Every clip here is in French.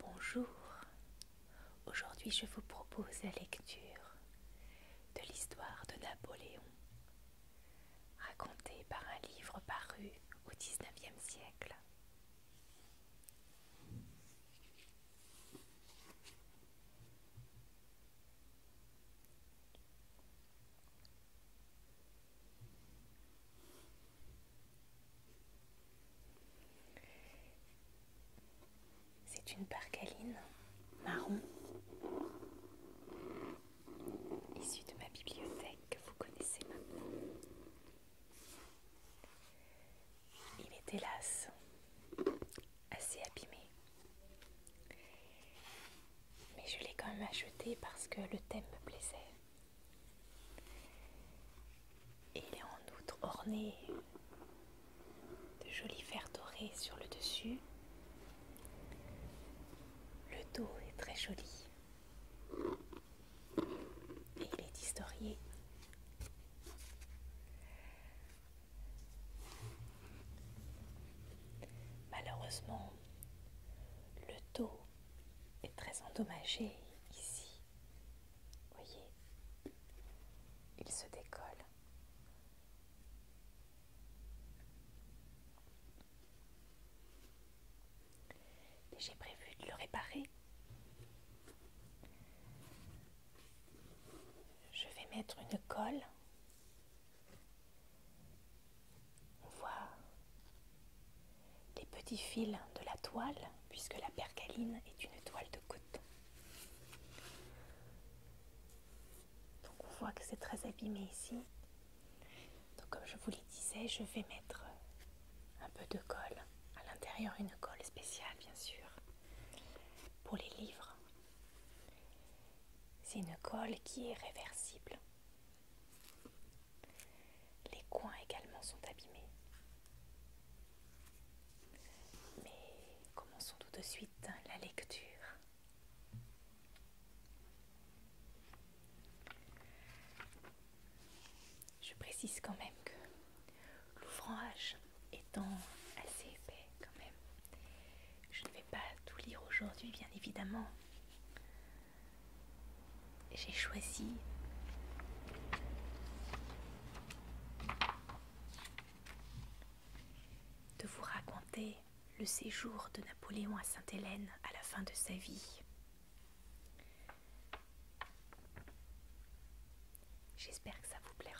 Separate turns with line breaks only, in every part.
Bonjour, Aujourd'hui, je vous propose la lecture de l'histoire de Napoléon, racontée par un livre paru au XIXe siècle. C'est une parcaline marron issue de ma bibliothèque que vous connaissez maintenant. Il est hélas assez abîmé. Mais je l'ai quand même acheté parce que le thème me plaisait. Et il est en outre orné de jolis verres dorés sur le dessus. Le dos est très joli et il est historié. Malheureusement, le dos est très endommagé ici. Voyez, il se décolle j'ai prévu de le réparer. Je vais mettre une colle. On voit les petits fils de la toile puisque la percaline est une toile de coton. Donc on voit que c'est très abîmé ici. Donc comme je vous le disais, je vais mettre un peu de colle. À l'intérieur, une colle spéciale, bien sûr, pour les livres. C'est une colle qui est réversible. Les coins également sont abîmés. Mais commençons tout de suite la lecture. Je précise quand même que l'ouvrage étant assez épais quand même, je ne vais pas tout lire aujourd'hui bien évidemment. J'ai choisi de vous raconter le séjour de Napoléon à Sainte-Hélène à la fin de sa vie. J'espère que ça vous plaira.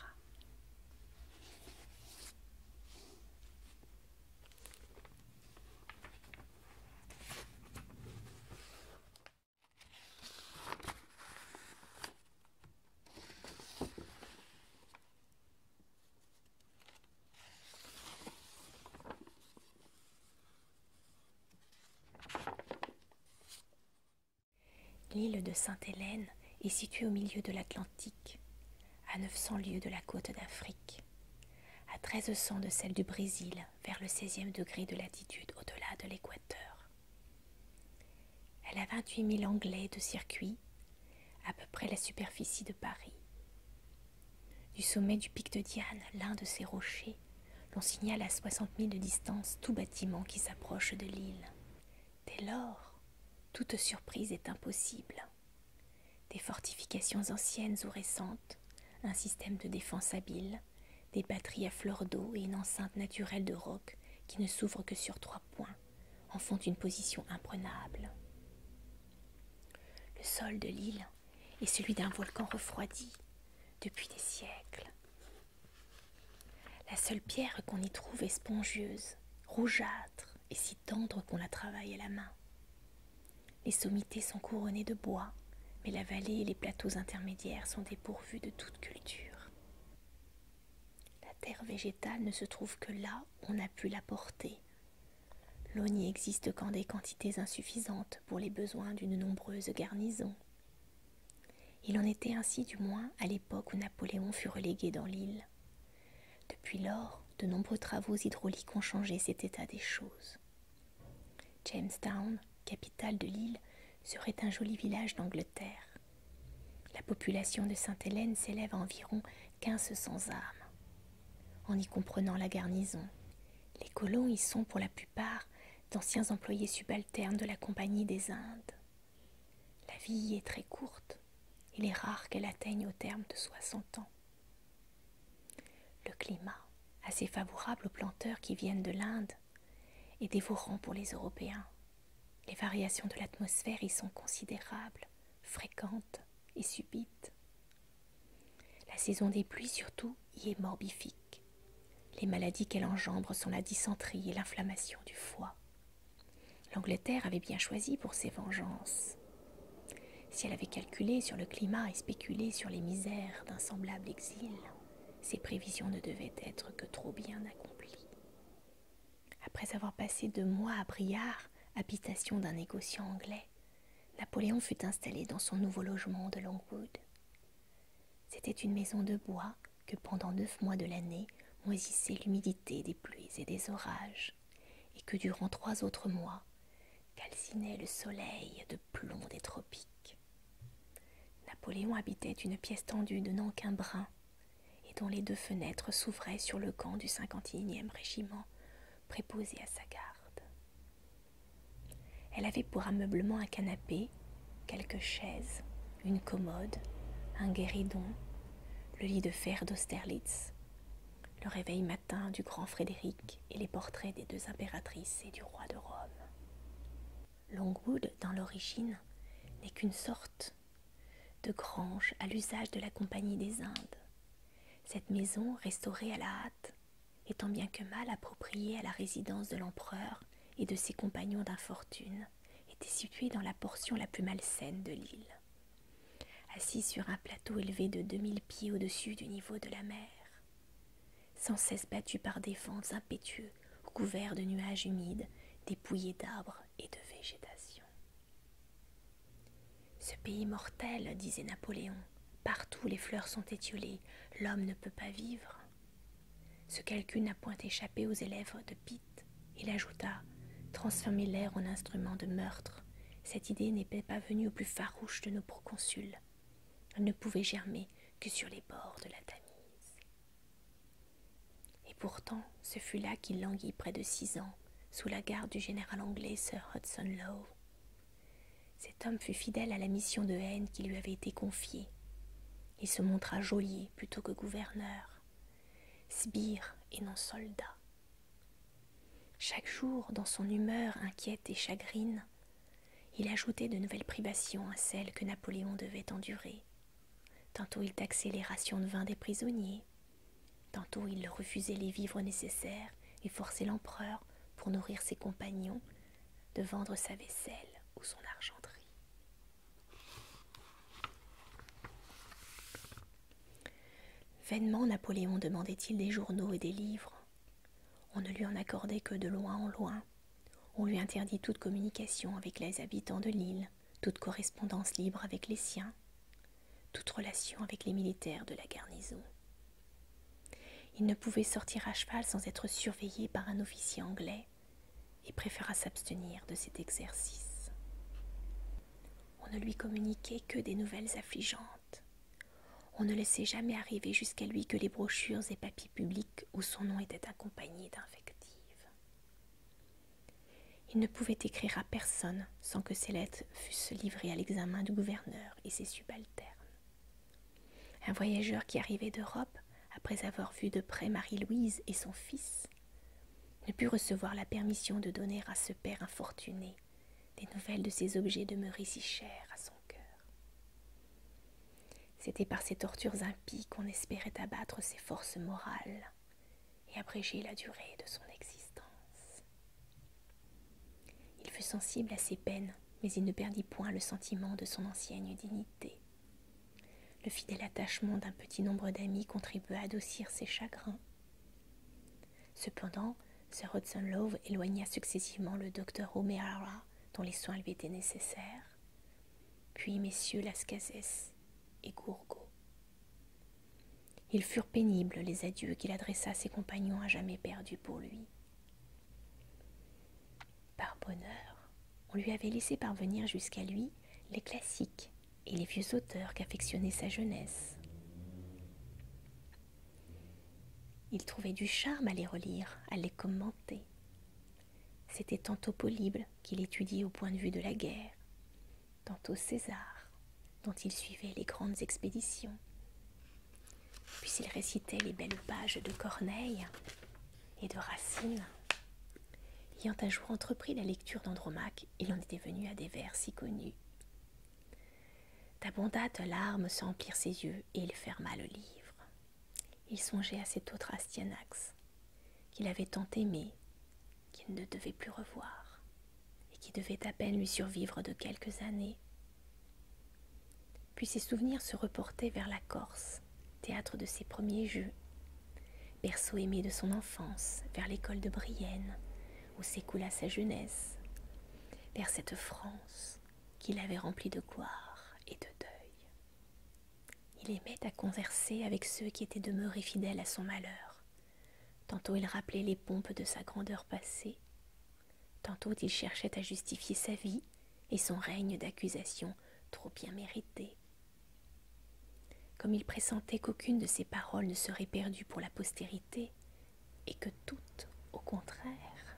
L'île de Sainte-Hélène est située au milieu de l'Atlantique, à 900 lieues de la côte d'Afrique, à 1300 de celle du Brésil, vers le 16e degré de latitude au-delà de l'équateur. Elle a vingt-huit mille anglais de circuit, à peu près la superficie de Paris. Du sommet du pic de Diane, l'un de ses rochers, l'on signale à soixante mille de distance tout bâtiment qui s'approche de l'île. Dès lors, toute surprise est impossible. Des fortifications anciennes ou récentes, un système de défense habile, des batteries à fleur d'eau et une enceinte naturelle de roc qui ne s'ouvre que sur trois points en font une position imprenable. Le sol de l'île est celui d'un volcan refroidi depuis des siècles. La seule pierre qu'on y trouve est spongieuse, rougeâtre et si tendre qu'on la travaille à la main. Les sommités sont couronnées de bois, mais la vallée et les plateaux intermédiaires sont dépourvus de toute culture. La terre végétale ne se trouve que là où on a pu la porter L'eau n'y existe qu'en des quantités insuffisantes pour les besoins d'une nombreuse garnison. Il en était ainsi du moins à l'époque où Napoléon fut relégué dans l'île. Depuis lors, de nombreux travaux hydrauliques ont changé cet état des choses. Jamestown, capitale de l'île, serait un joli village d'Angleterre. La population de Sainte-Hélène s'élève à environ 1500 âmes. En y comprenant la garnison, les colons y sont pour la plupart d'anciens employés subalternes de la Compagnie des Indes. La vie y est très courte. Il est rare qu'elle atteigne au terme de soixante ans. Le climat, assez favorable aux planteurs qui viennent de l'Inde, est dévorant pour les Européens. Les variations de l'atmosphère y sont considérables, fréquentes et subites. La saison des pluies surtout y est morbifique. Les maladies qu'elle engendre sont la dysenterie et l'inflammation du foie. L'Angleterre avait bien choisi pour ses vengeances. Si elle avait calculé sur le climat et spéculé sur les misères d'un semblable exil, ses prévisions ne devaient être que trop bien accomplies. Après avoir passé deux mois à Briard, habitation d'un négociant anglais, Napoléon fut installé dans son nouveau logement de Longwood. C'était une maison de bois que pendant neuf mois de l'année moisissait l'humidité des pluies et des orages, et que durant trois autres mois calcinait le soleil de plomb des tropiques. Napoléon habitait une pièce tendue de qu'un brin et dont les deux fenêtres s'ouvraient sur le camp du 51e régiment préposé à sa garde. Elle avait pour ameublement un canapé, quelques chaises, une commode, un guéridon, le lit de fer d'Austerlitz, le réveil matin du grand Frédéric et les portraits des deux impératrices et du roi de Rome. Longwood, dans l'origine, n'est qu'une sorte de grange à l'usage de la Compagnie des Indes. Cette maison, restaurée à la hâte, étant bien que mal appropriée à la résidence de l'empereur et de ses compagnons d'infortune, était située dans la portion la plus malsaine de l'île. Assise sur un plateau élevé de deux mille pieds au-dessus du niveau de la mer, sans cesse battue par des vents impétueux, couverts de nuages humides, dépouillés d'arbres et de végétation. Ce pays mortel, disait Napoléon, partout les fleurs sont étiolées, l'homme ne peut pas vivre. Ce calcul n'a point échappé aux élèves de Pitt. Il ajouta Transformer l'air en instrument de meurtre. Cette idée n'était pas venue au plus farouche de nos proconsuls. Elle ne pouvait germer que sur les bords de la Tamise. Et pourtant, ce fut là qu'il languit près de six ans, sous la garde du général anglais Sir Hudson Lowe. Cet homme fut fidèle à la mission de haine qui lui avait été confiée. Il se montra geôlier plutôt que gouverneur, sbire et non soldat. Chaque jour, dans son humeur inquiète et chagrine, il ajoutait de nouvelles privations à celles que Napoléon devait endurer. Tantôt il taxait les rations de vin des prisonniers, tantôt il refusait les vivres nécessaires et forçait l'empereur, pour nourrir ses compagnons, de vendre sa vaisselle ou son argenterie. Vainement Napoléon demandait-il des journaux et des livres. On ne lui en accordait que de loin en loin. On lui interdit toute communication avec les habitants de l'île toute correspondance libre avec les siens, toute relation avec les militaires de la garnison. Il ne pouvait sortir à cheval sans être surveillé par un officier anglais et préféra s'abstenir de cet exercice. On ne lui communiquait que des nouvelles affligeantes. On ne laissait jamais arriver jusqu'à lui que les brochures et papiers publics où son nom était accompagné d'infectives il ne pouvait écrire à personne sans que ses lettres fussent livrées à l'examen du gouverneur et ses subalternes. Un voyageur qui arrivait d'Europe, après avoir vu de près Marie-Louise et son fils, ne put recevoir la permission de donner à ce père infortuné des nouvelles de ces objets demeurés si chers à son cœur. C'était par ces tortures impies qu'on espérait abattre ses forces morales et abréger la durée de son existence. Il fut sensible à ses peines, mais il ne perdit point le sentiment de son ancienne dignité. Le fidèle attachement d'un petit nombre d'amis contribua à adoucir ses chagrins. Cependant, Sir Hudson Love éloigna successivement le docteur O'Meara, dont les soins lui étaient nécessaires, puis messieurs Lascazes et Gourgaud. Ils furent pénibles les adieux qu'il adressa à ses compagnons à jamais perdus pour lui. Par bonheur, on lui avait laissé parvenir jusqu'à lui les classiques et les vieux auteurs qu'affectionnait sa jeunesse. Il trouvait du charme à les relire, à les commenter. C'était tantôt polible qu'il étudiait au point de vue de la guerre, tantôt César, dont il suivait les grandes expéditions. Puis il récitait les belles pages de Corneille et de Racine. Ayant un jour entrepris la lecture d'Andromaque, il en était venu à des vers si connus. D'abondantes larmes s'emplirent ses yeux et il ferma le livre. Il songeait à cet autre Astyanax, qu'il avait tant aimé, qu'il ne devait plus revoir, et qui devait à peine lui survivre de quelques années. Puis ses souvenirs se reportaient vers la Corse, théâtre de ses premiers jeux, berceau aimé de son enfance, vers l'école de Brienne, où s'écoula sa jeunesse, vers cette France qu'il avait remplie de gloire et de deuil. Il aimait à converser avec ceux qui étaient demeurés fidèles à son malheur, Tantôt il rappelait les pompes de sa grandeur passée, tantôt il cherchait à justifier sa vie et son règne d'accusations trop bien méritées. Comme il pressentait qu'aucune de ses paroles ne serait perdue pour la postérité, et que toutes, au contraire,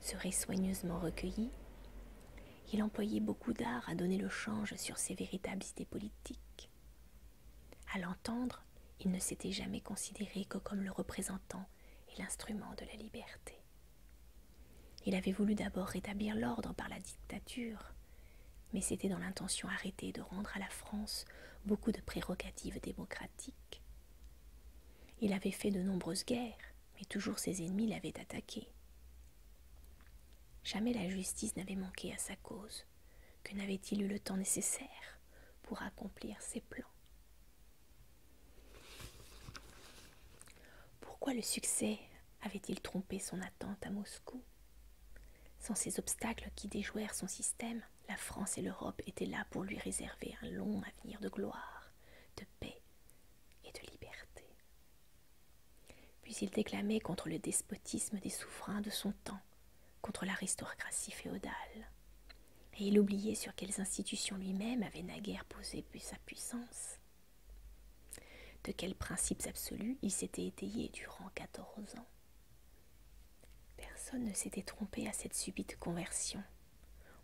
seraient soigneusement recueillies, il employait beaucoup d'art à donner le change sur ses véritables idées politiques. À l'entendre, il ne s'était jamais considéré que comme le représentant et l'instrument de la liberté. Il avait voulu d'abord rétablir l'ordre par la dictature, mais c'était dans l'intention arrêtée de rendre à la France beaucoup de prérogatives démocratiques. Il avait fait de nombreuses guerres, mais toujours ses ennemis l'avaient attaqué. Jamais la justice n'avait manqué à sa cause que n'avait-il eu le temps nécessaire pour accomplir ses plans. Pourquoi le succès avait-il trompé son attente à Moscou Sans ces obstacles qui déjouèrent son système, la France et l'Europe étaient là pour lui réserver un long avenir de gloire, de paix et de liberté. Puis il déclamait contre le despotisme des souverains de son temps, contre l'aristocratie féodale. Et il oubliait sur quelles institutions lui-même avait naguère posé sa puissance, de quels principes absolus il s'était étayé durant quatorze ans. Personne ne s'était trompé à cette subite conversion.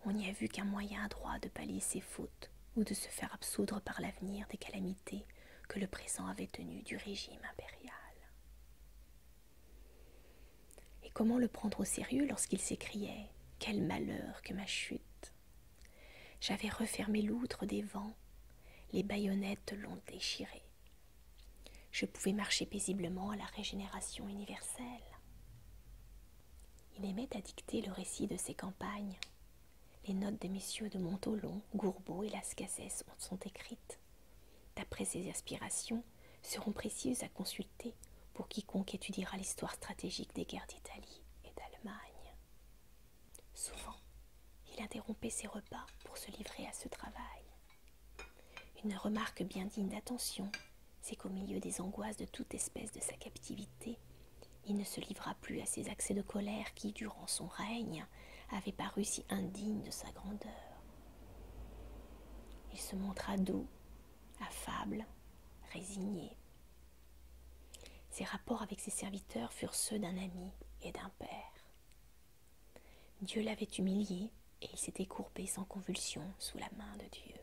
On n'y a vu qu'un moyen adroit de pallier ses fautes ou de se faire absoudre par l'avenir des calamités que le présent avait tenu du régime impérial. Et comment le prendre au sérieux lorsqu'il s'écriait Quel malheur que ma chute J'avais refermé l'outre des vents, les baïonnettes l'ont déchiré. Je pouvais marcher paisiblement à la régénération universelle. Il aimait à dicter le récit de ses campagnes, les notes des messieurs de Montaulon, Gourbeau et Lascazès sont écrites. D'après ses aspirations, seront précieuses à consulter pour quiconque étudiera l'histoire stratégique des guerres d'Italie et d'Allemagne. Souvent, il interrompait ses repas pour se livrer à ce travail. Une remarque bien digne d'attention, c'est qu'au milieu des angoisses de toute espèce de sa captivité, il ne se livra plus à ces accès de colère qui, durant son règne, avait paru si indigne de sa grandeur. Il se montra doux, affable, résigné. Ses rapports avec ses serviteurs furent ceux d'un ami et d'un père. Dieu l'avait humilié et il s'était courbé sans convulsion sous la main de Dieu.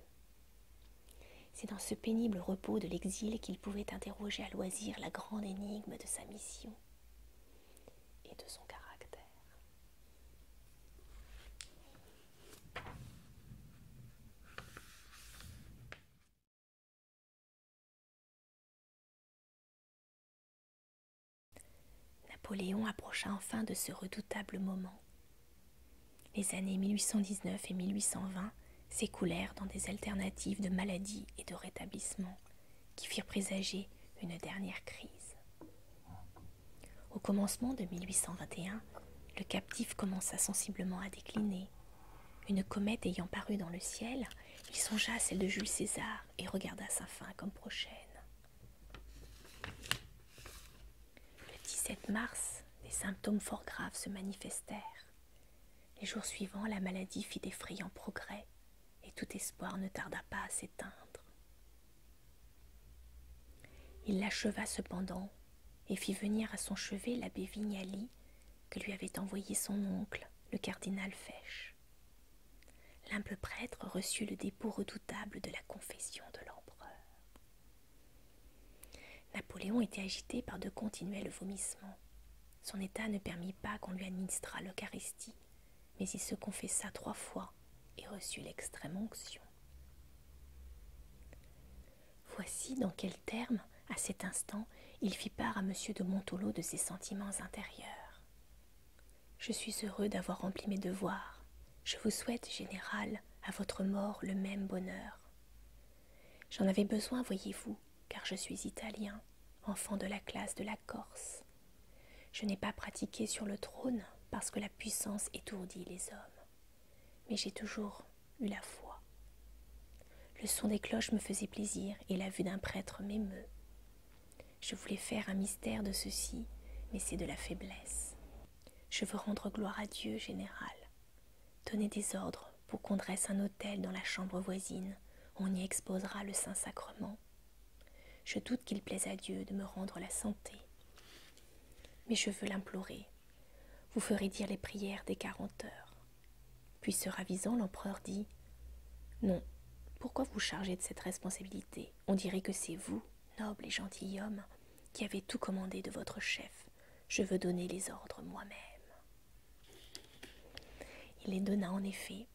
C'est dans ce pénible repos de l'exil qu'il pouvait interroger à loisir la grande énigme de sa mission et de son caractère. Napoléon approcha enfin de ce redoutable moment. Les années 1819 et 1820 s'écoulèrent dans des alternatives de maladie et de rétablissement, qui firent présager une dernière crise. Au commencement de 1821, le captif commença sensiblement à décliner. Une comète ayant paru dans le ciel, il songea à celle de Jules César et regarda sa fin comme prochaine. Le 17 mars, des symptômes fort graves se manifestèrent. Les jours suivants, la maladie fit d'effrayants progrès et tout espoir ne tarda pas à s'éteindre. Il l'acheva cependant et fit venir à son chevet l'abbé Vignali que lui avait envoyé son oncle, le cardinal Fesch. L'humble prêtre reçut le dépôt redoutable de la confession de l'empereur. Napoléon était agité par de continuels vomissements. Son état ne permit pas qu'on lui administrât l'Eucharistie mais il se confessa trois fois et reçut l'extrême onction. Voici dans quels termes, à cet instant, il fit part à M. de Montolo de ses sentiments intérieurs. Je suis heureux d'avoir rempli mes devoirs. Je vous souhaite, général, à votre mort le même bonheur. J'en avais besoin, voyez-vous, car je suis italien, enfant de la classe de la Corse. Je n'ai pas pratiqué sur le trône parce que la puissance étourdit les hommes. Mais j'ai toujours eu la foi. Le son des cloches me faisait plaisir et la vue d'un prêtre m'émeut. Je voulais faire un mystère de ceci, mais c'est de la faiblesse. Je veux rendre gloire à Dieu, général. Donnez des ordres pour qu'on dresse un autel dans la chambre voisine. On y exposera le Saint-Sacrement je doute qu'il plaise à Dieu de me rendre la santé. Mais je veux l'implorer. Vous ferez dire les prières des quarante heures. Puis se ravisant, l'empereur dit Non, pourquoi vous charger de cette responsabilité On dirait que c'est vous, noble et gentilhomme, qui avez tout commandé de votre chef. Je veux donner les ordres moi-même. Il les donna en effet,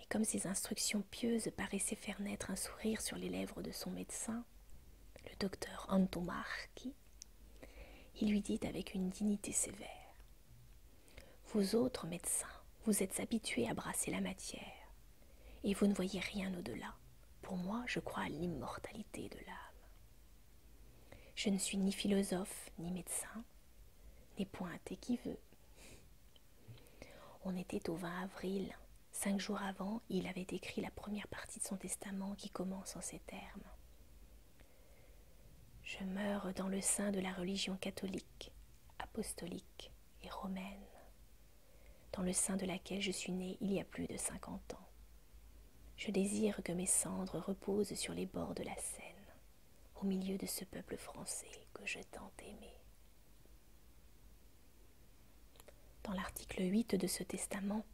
et comme ces instructions pieuses paraissaient faire naître un sourire sur les lèvres de son médecin, le docteur Antomarchi, il lui dit avec une dignité sévère Vous autres médecins, vous êtes habitués à brasser la matière, et vous ne voyez rien au-delà. Pour moi, je crois à l'immortalité de l'âme. Je ne suis ni philosophe, ni médecin, n'est point qui veut. On était au 20 avril. Cinq jours avant, il avait écrit la première partie de son testament qui commence en ces termes. Je meurs dans le sein de la religion catholique, apostolique et romaine, dans le sein de laquelle je suis né il y a plus de cinquante ans. Je désire que mes cendres reposent sur les bords de la Seine au milieu de ce peuple français que je tant aimais. Dans l'article 8 de ce testament,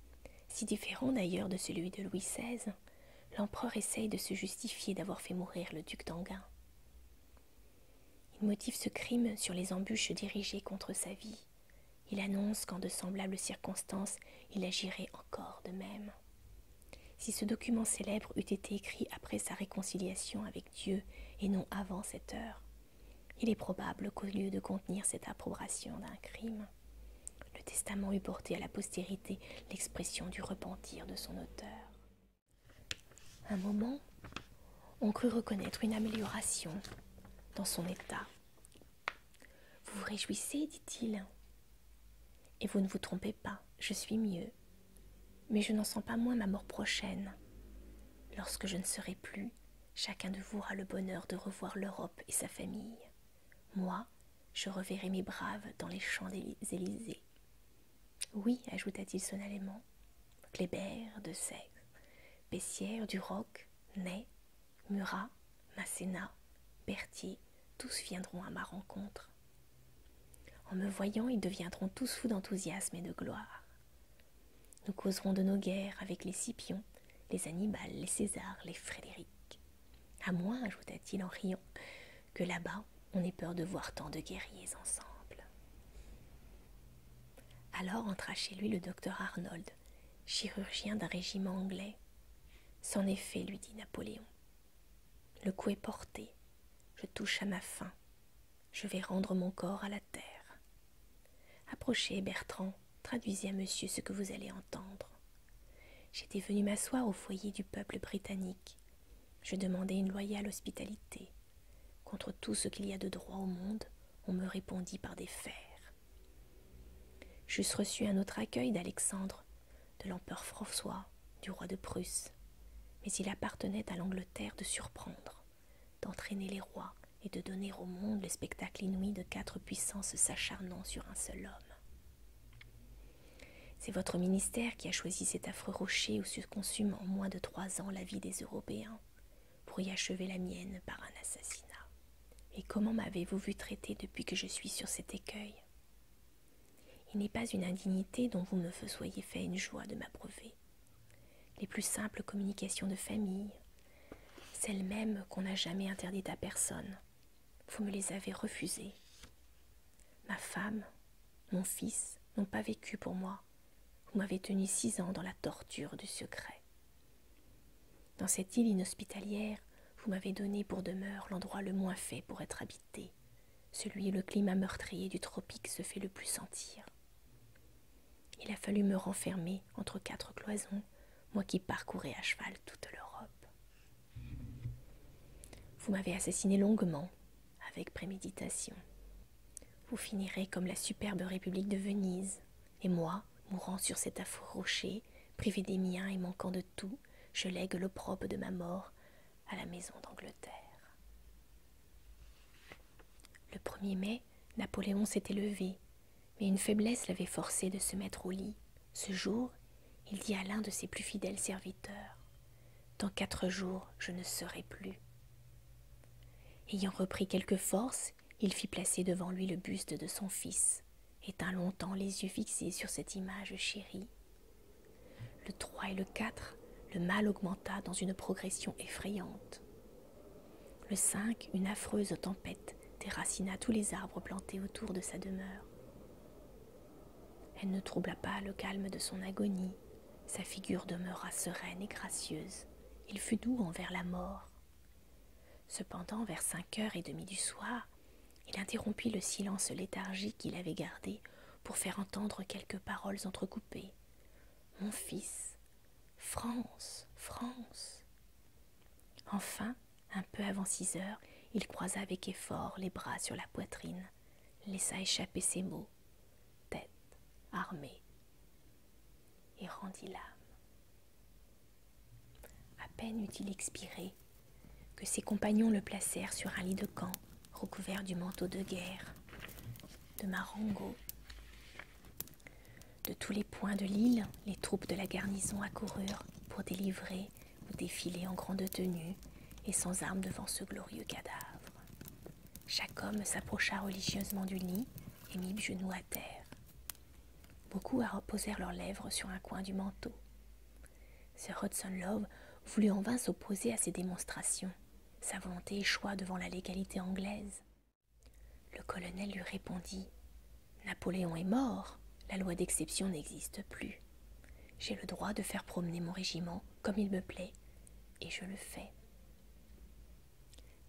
si différent d'ailleurs de celui de Louis XVI, l'empereur essaye de se justifier d'avoir fait mourir le duc d'enghien Il motive ce crime sur les embûches dirigées contre sa vie. Il annonce qu'en de semblables circonstances, il agirait encore de même. Si ce document célèbre eût été écrit après sa réconciliation avec Dieu et non avant cette heure, il est probable qu'au lieu de contenir cette approbation d'un crime, le testament eût porté à la postérité l'expression du repentir de son auteur. Un moment, on crut reconnaître une amélioration dans son état. Vous vous réjouissez, dit-il. Et vous ne vous trompez pas, je suis mieux, mais je n'en sens pas moins ma mort prochaine. Lorsque je ne serai plus, chacun de vous aura le bonheur de revoir l'Europe et sa famille. Moi, je reverrai mes braves dans les champs des Élysées. Oui, ajouta-t-il sonnellement, Clébert, De Bessière Bessières, Duroc, Ney, Murat, Masséna, Berthier, tous viendront à ma rencontre. En me voyant, ils deviendront tous fous d'enthousiasme et de gloire. Nous causerons de nos guerres avec les Scipions, les Annibales, les Césars, les Frédéric. À moins, ajouta-t-il en riant, que là-bas on ait peur de voir tant de guerriers ensemble. Alors entra chez lui le docteur Arnold, chirurgien d'un régiment anglais. C'en est lui dit Napoléon. Le coup est porté, je touche à ma fin, je vais rendre mon corps à la terre. Approchez, Bertrand, traduisez à monsieur ce que vous allez entendre. J'étais venu m'asseoir au foyer du peuple britannique. Je demandai une loyale hospitalité. Contre tout ce qu'il y a de droit au monde, on me répondit par des fers. J'eusse reçu un autre accueil d'Alexandre, de l'empereur François, du roi de Prusse, mais il appartenait à l'Angleterre de surprendre, d'entraîner les rois et de donner au monde le spectacle inouï de quatre puissances s'acharnant sur un seul homme. C'est votre ministère qui a choisi cet affreux rocher où se consume en moins de trois ans la vie des Européens, pour y achever la mienne par un assassinat. Et comment m'avez-vous vu traiter depuis que je suis sur cet écueil il n'est pas une indignité dont vous me soyez fait une joie de m'approuver. Les plus simples communications de famille, celles mêmes qu'on n'a jamais interdites à personne, vous me les avez refusées. Ma femme, mon fils n'ont pas vécu pour moi. Vous m'avez tenu six ans dans la torture du secret. Dans cette île inhospitalière, vous m'avez donné pour demeure l'endroit le moins fait pour être habité, celui où le climat meurtrier du tropique se fait le plus sentir. Il a fallu me renfermer entre quatre cloisons, moi qui parcourais à cheval toute l'Europe. Vous m'avez assassiné longuement, avec préméditation. Vous finirez comme la superbe République de Venise, et moi, mourant sur cet affreux rocher, privé des miens et manquant de tout, je lègue l'opprobre de ma mort à la maison d'Angleterre. Le 1er mai, Napoléon s'était levé, mais une faiblesse l'avait forcé de se mettre au lit. Ce jour, il dit à l'un de ses plus fidèles serviteurs Dans quatre jours, je ne serai plus. Ayant repris quelque force, il fit placer devant lui le buste de son fils, et tint longtemps les yeux fixés sur cette image chérie. Le 3 et le 4, le mal augmenta dans une progression effrayante. Le 5, une affreuse tempête déracina tous les arbres plantés autour de sa demeure. Elle ne troubla pas le calme de son agonie, sa figure demeura sereine et gracieuse, il fut doux envers la mort. Cependant, vers cinq heures et demie du soir, il interrompit le silence léthargique qu'il avait gardé pour faire entendre quelques paroles entrecoupées. Mon fils, France, France. Enfin, un peu avant six heures, il croisa avec effort les bras sur la poitrine, laissa échapper ses mots tête, armée, et rendit l'âme. À peine eut-il expiré que ses compagnons le placèrent sur un lit de camp recouvert du manteau de guerre, de Marengo. De tous les points de l'île, les troupes de la garnison accoururent pour délivrer ou défiler en grande tenue et sans armes devant ce glorieux cadavre. Chaque homme s'approcha religieusement du lit et mit le genou à terre. Beaucoup reposèrent leurs lèvres sur un coin du manteau. Sir Hudson Love voulut en vain s'opposer à ces démonstrations sa volonté échoua devant la légalité anglaise. Le colonel lui répondit Napoléon est mort, la loi d'exception n'existe plus. J'ai le droit de faire promener mon régiment comme il me plaît, et je le fais.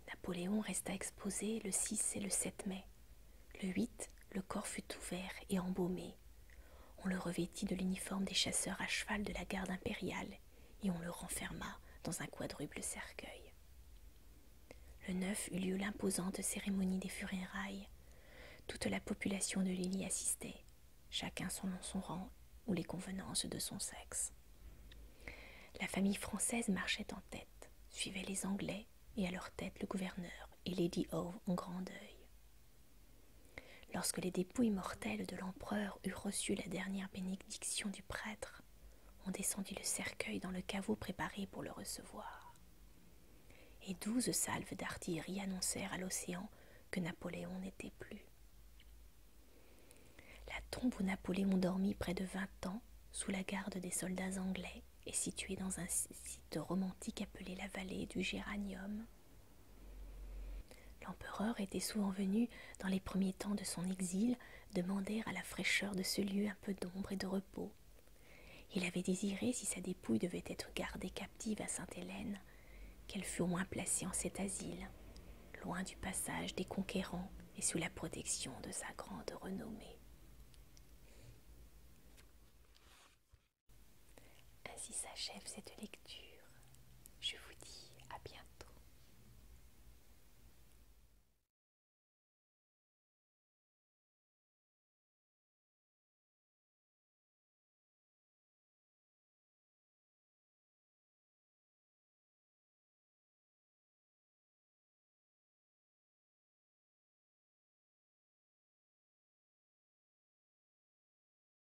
Napoléon resta exposé le 6 et le 7 mai. Le 8, le corps fut ouvert et embaumé. On le revêtit de l'uniforme des chasseurs à cheval de la garde impériale et on le renferma dans un quadruple cercueil. Le neuf eut lieu l'imposante cérémonie des funérailles. Toute la population de Lily assistait, chacun selon son rang ou les convenances de son sexe. La famille française marchait en tête, suivait les Anglais et à leur tête le gouverneur et Lady Howe en grand deuil. Lorsque les dépouilles mortelles de l'empereur eurent reçu la dernière bénédiction du prêtre, on descendit le cercueil dans le caveau préparé pour le recevoir. Et douze salves d'artillerie annoncèrent à l'océan que Napoléon n'était plus. La tombe où Napoléon dormit près de vingt ans, sous la garde des soldats anglais, et située dans un site romantique appelé la vallée du Géranium, L'empereur était souvent venu, dans les premiers temps de son exil, demander à la fraîcheur de ce lieu un peu d'ombre et de repos. Il avait désiré, si sa dépouille devait être gardée captive à Sainte-Hélène, qu'elle fût au moins placée en cet asile, loin du passage des conquérants et sous la protection de sa grande renommée. Ainsi s'achève cette lecture. Je vous dis à bientôt.